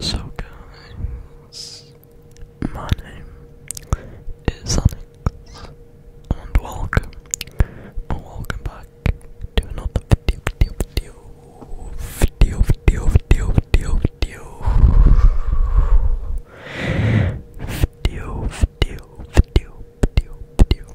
so guys, my name is Onyx, and welcome, welcome back to another video, video, video, video, video, video, video, video, video, video, video, video.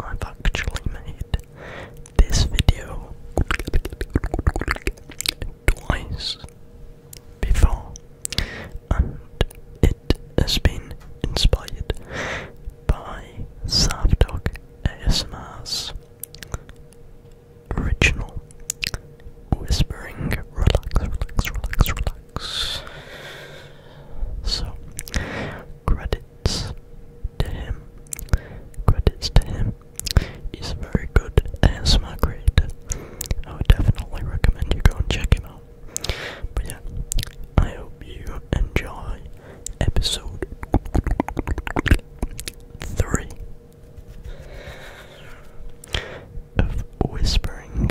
I've actually made this video twice before, and it has been inspired by Savdog ASMR's original whispering relax, relax, relax, relax. So, credit to him. Credits to him. He's very good ASMR creator. I would definitely recommend you go and check him out. But yeah, I hope you enjoy episode three of Whispering.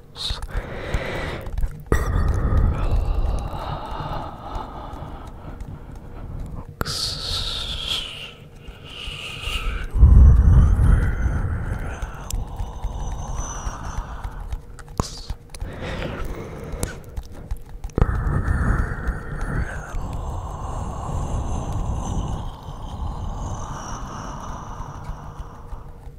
circles. Relax. Relax. Relax.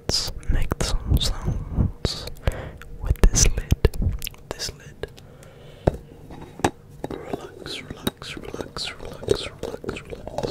let's make some sounds with this lid. This lid. Relax, relax, relax, relax, relax, relax.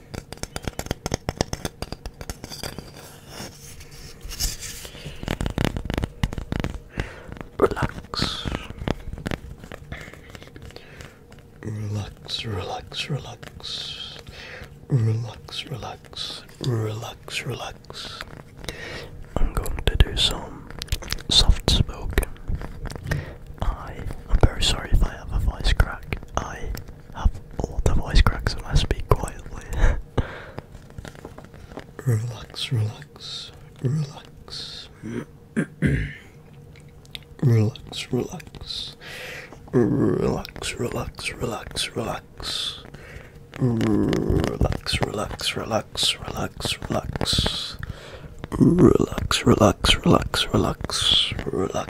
Relax. Relax, relax, relax. Relax, relax, relax, relax. I'm going to do some soft spoken. I am very sorry if I have a voice crack. I have all the voice cracks when I speak quietly. relax, relax, relax. relax, relax. Relax, relax, relax, relax. Relax, relax, relax, relax, relax. Relax, relax, relax, relax, relax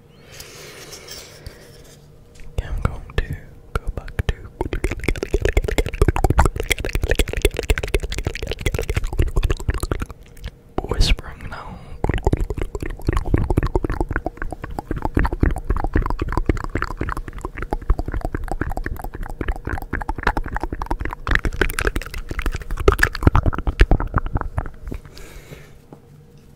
I'm going to go back to whispering now.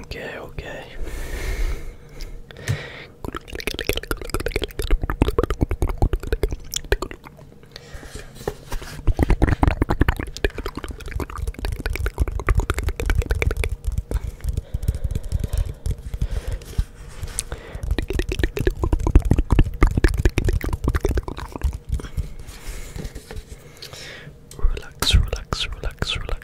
Okay, okay. Relax, relax, relax, relax.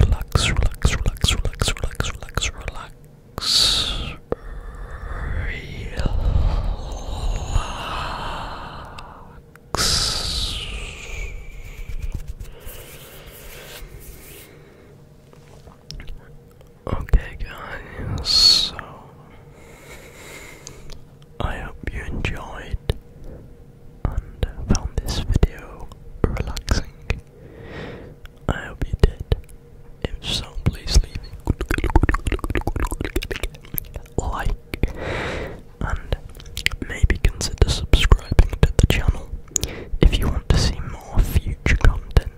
Relax, relax, relax, relax, relax, relax, relax. Relax. Okay, guys, so I hope you enjoyed and found this video relaxing. I hope you did. If so, please leave a like and maybe consider subscribing to the channel if you want to see more future content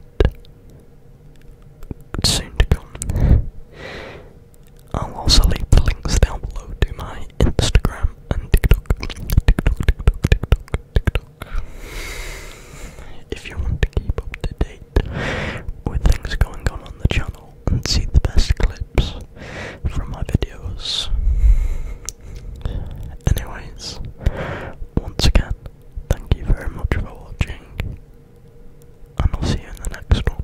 soon to come. I'll also leave the links down below to my Instagram and TikTok. TikTok, TikTok, TikTok, TikTok. If you want to keep up to date with things going on on the channel and see the best clips from my videos. Anyways, once again, thank you very much for watching, and I'll see you in the next one.